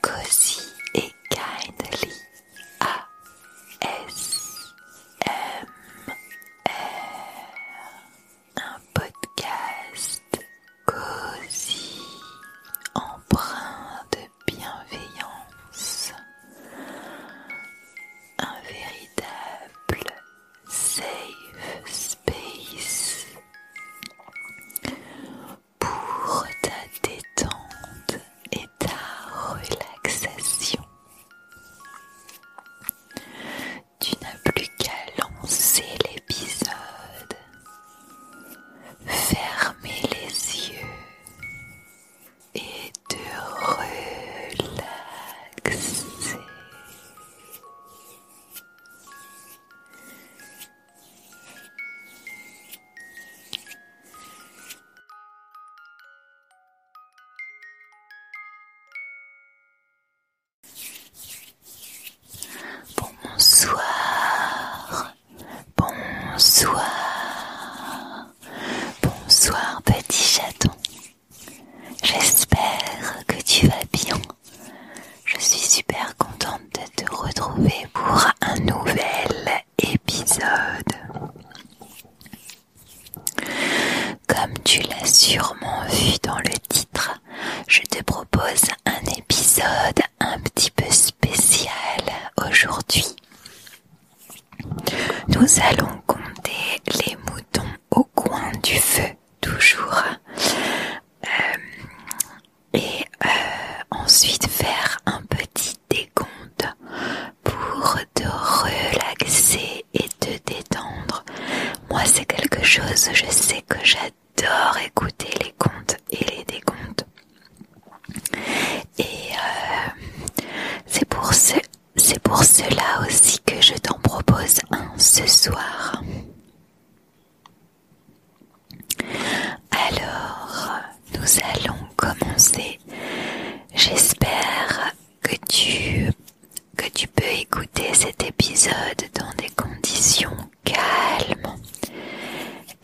Cosy et Kindly ASMR, un podcast cozy, empreint de bienveillance, un véritable safe space pour ta détente et ta relaxation. Tu n'as plus qu'à lancer l'épisode, fermer les yeux et te relaxer. Bonsoir, bonsoir, bonsoir petit chaton. J'espère que tu vas bien. Je suis super contente de te retrouver pour un nouvel épisode. Comme tu l'as sûrement vu dans le titre, je te propose un épisode un petit peu spécial aujourd'hui. Nous allons compter les moutons au coin du feu, toujours euh, et euh, ensuite faire un petit décompte pour te relaxer et te détendre. Moi c'est quelque chose, je sais que j'adore écouter les contes et les décomptes. Et euh, c'est pour, pour cela aussi que je t'en propose un ce soir. Alors, nous allons commencer. J'espère que tu, peux écouter cet épisode dans des conditions calmes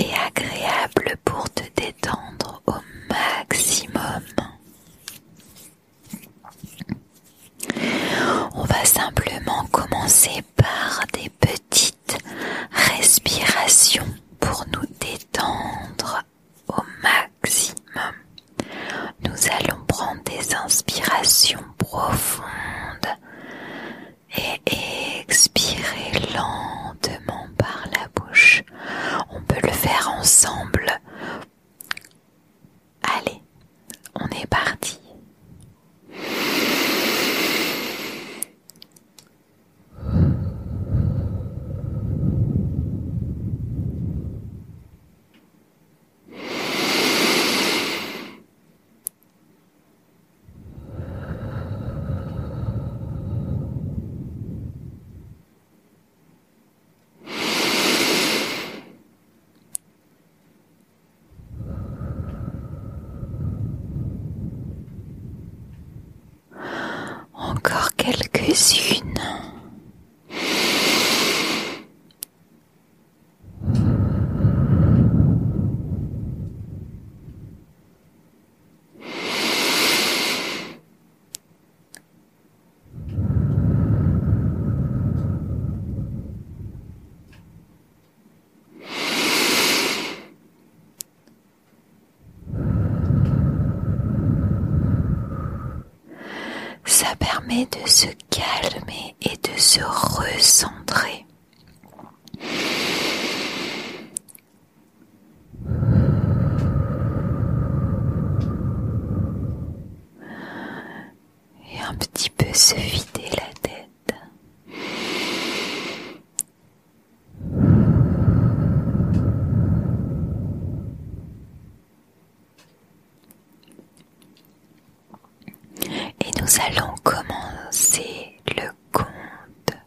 et agréables pour te détendre au maximum. On va simplement commencer par des petites respirations pour nous détendre au maximum. Nous allons prendre des inspirations profondes et expirer lentement par la bouche. On peut le faire ensemble Allez, on est parti. Encore quelques-unes. Ça permet de se calmer et de se recentrer et un petit peu se vider la tête. Et nous allons commencer le compte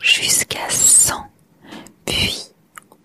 jusqu'à cent, puis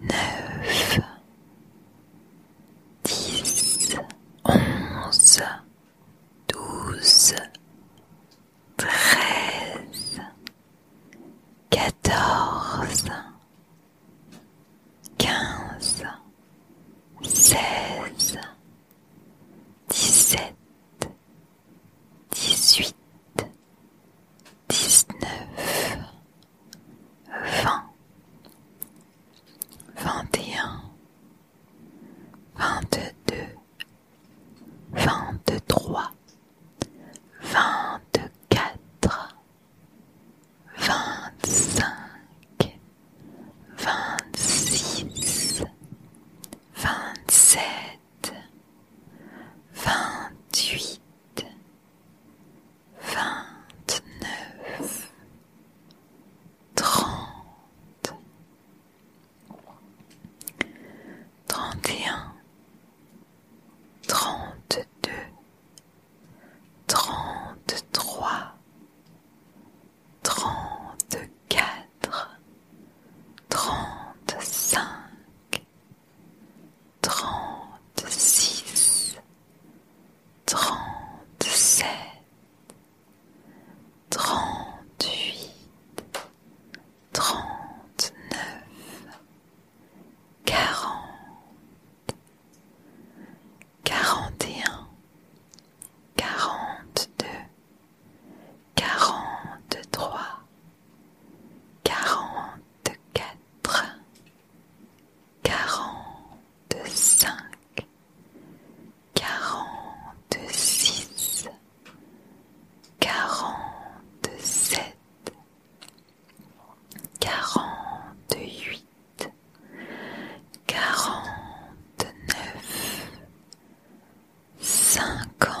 neuf, dix, onze, 12 13 quatorze, quinze, seize, dix-sept. 18 19 vingt, vingt et un, vingt-deux, vingt-trois, vingt-quatre, vingt-cinq, vingt-six, vingt-sept, vingt-huit, vingt-neuf, trente, trente et un, trente-deux, trente-trois, trente-quatre, trente-cinq, trente-six, trente-sept, trente-huit, trente-neuf, quarante, quarante et un, quarante-deux, quarante-trois quarante-quatre, quarante-cinq, quarante-six, quarante-sept, quarante-huit, quarante-neuf, cinquante.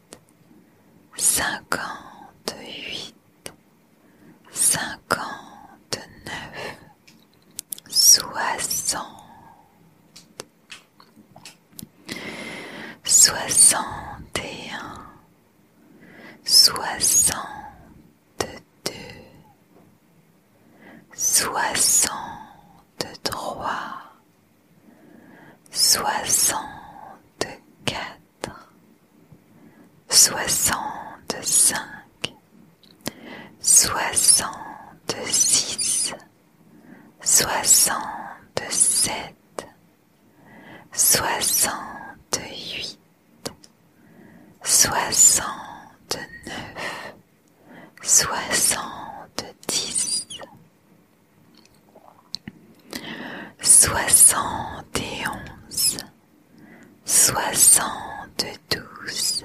cinquante-huit, cinquante-neuf, soixante, soixante et un, soixante-deux, soixante-trois soixante-quatre, soixante-cinq, soixante-six, soixante-sept, soixante-huit, soixante-neuf, soixante-dix, soixante et onze, soixante-douze,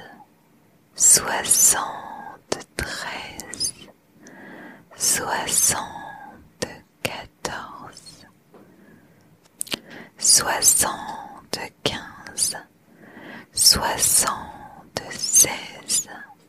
soixante-treize, soixante-quatorze, soixante-quinze, soixante-seize.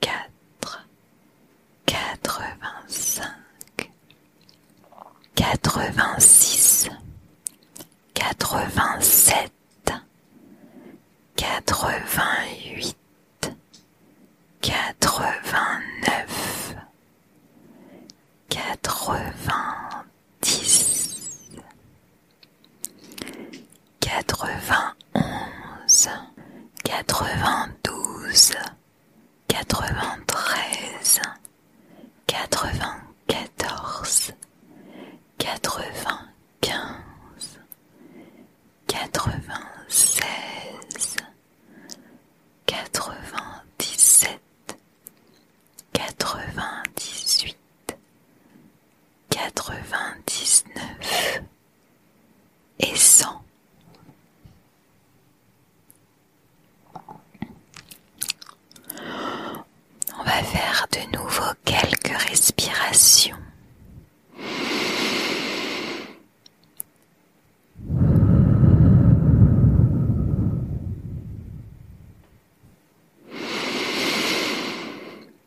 quatre, quatre-vingt-cinq, quatre-vingt-six, quatre-vingt-sept, quatre-vingt-huit, quatre-vingt-neuf, quatre-vingt-dix, quatre-vingt-onze. 92, 93, 94, 95, 96, 97, 98, 99 et sans. On va faire de nouveau quelques respirations.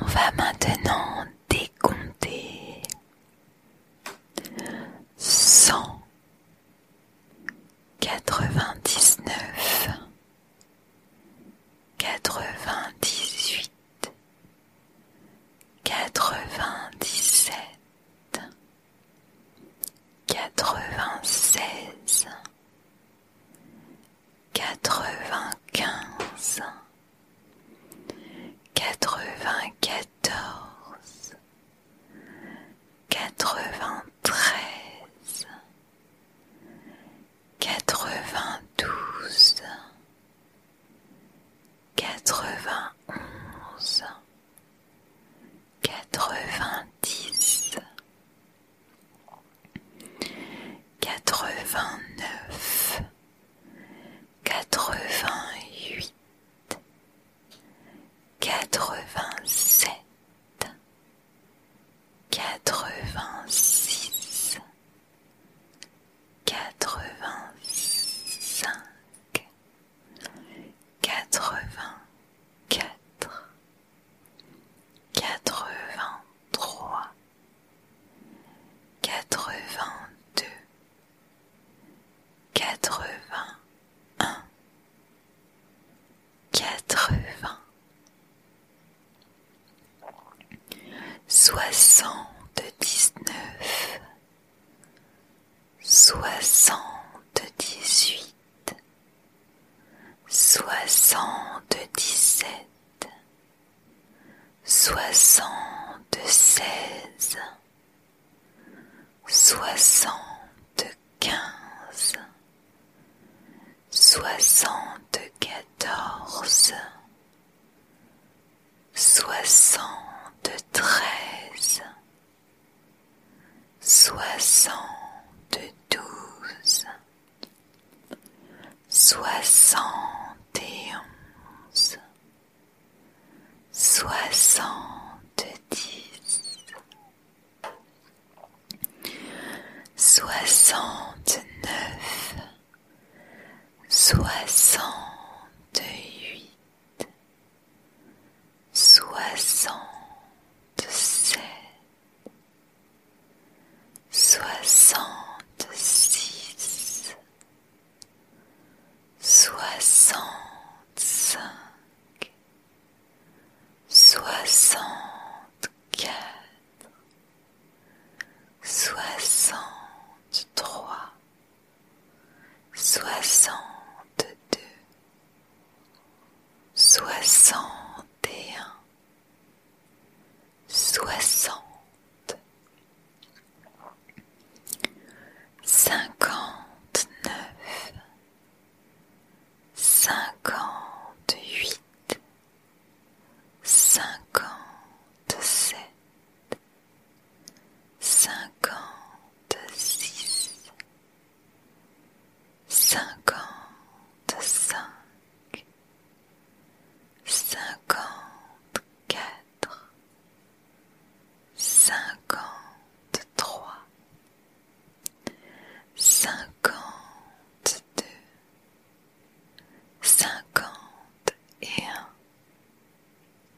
On va maintenant décompter cent quatre-vingt-dix-neuf, quatre-vingt-dix-huit, quatre-vingt-dix-sept quatre-vingt-seize, quatre-vingt-quinze, quatre-vingt-quatorze, quatre-vingt-treize, quatre-vingt-douze, quatre-vingt-onze, quatre-vingt-dix, quatre-vingt-neuf, quatre-vingt-huit, quatre-vingt-sept, quatre-vingt-six, quatre-vingt-cinq, quatre-vingt-quatre, quatre-vingt-trois, quatre-vingt-deux, quatre-vingt-un, quatre-vingts, soixante-dix-neuf soixante-dix-huit, soixante-dix-sept, soixante-seize, soixante-quinze, soixante-quatorze, soixante-treize soixante-douze, soixante et onze, soixante-dix, soixante-neuf, soixante-huit soixante-sept, soixante-six, soixante-cinq, soixante-quatre, soixante-trois soixante-deux, soixante et un, soixante, cinquante-neuf, cinquante-huit, cinquante-sept, cinquante-six, cinquante-cinq, cinquante-quatre, cinquante-trois, cinquante-deux, cinquante et un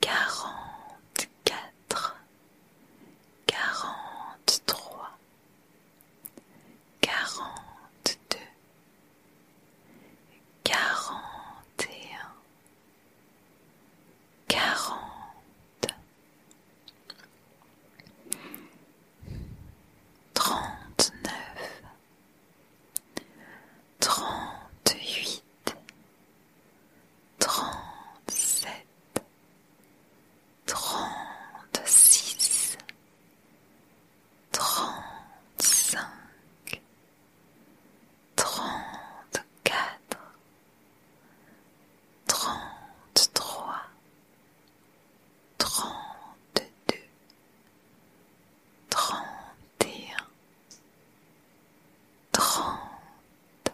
quarante-quatre, quarante-trois, quarante-deux, quarante et un, quarante, trente-neuf, 38 37 36 35 34 33 32 31 trente,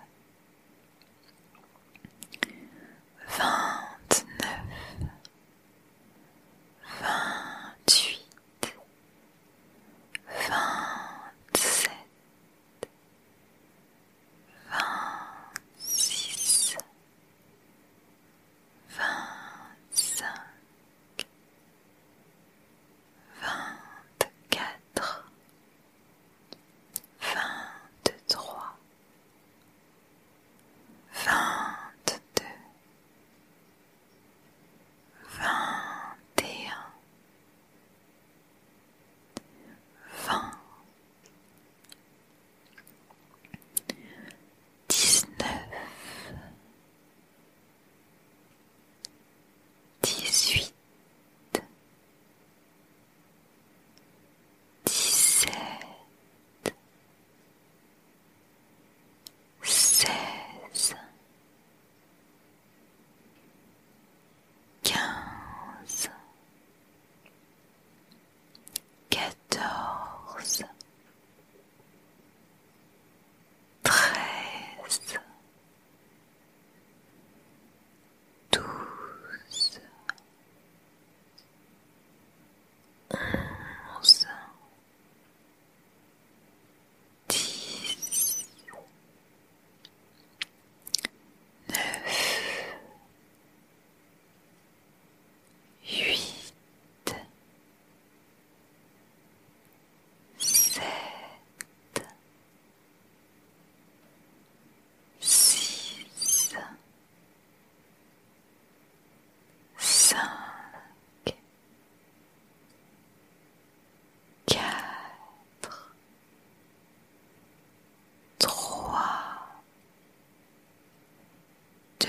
vingt-neuf, vingt-huit, vingt-sept, vingt-six, vingt-cinq vingt-quatre, vingt-trois, vingt-deux, vingt et un, vingt, dix-neuf, dix-huit, dix-sept, seize, quinze, quatorze treize, douze, onze, dix, neuf, huit sept, six, cinq, quatre, trois, deux,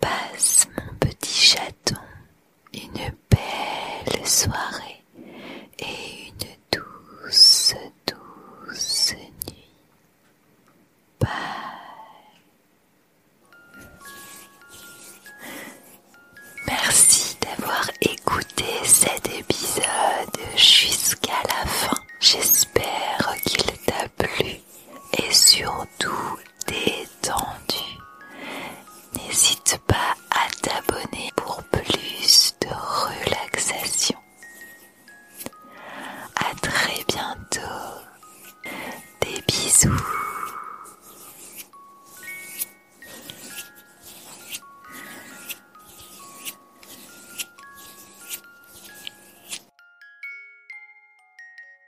Passe mon petit chaton une belle soirée et une douce, douce nuit. Bye. Merci d'avoir écouté cet épisode jusqu'à la fin. J'espère qu'il t'a plu et surtout détendu. N'hésite pas à t'abonner pour plus de relaxation. À très bientôt. Des bisous.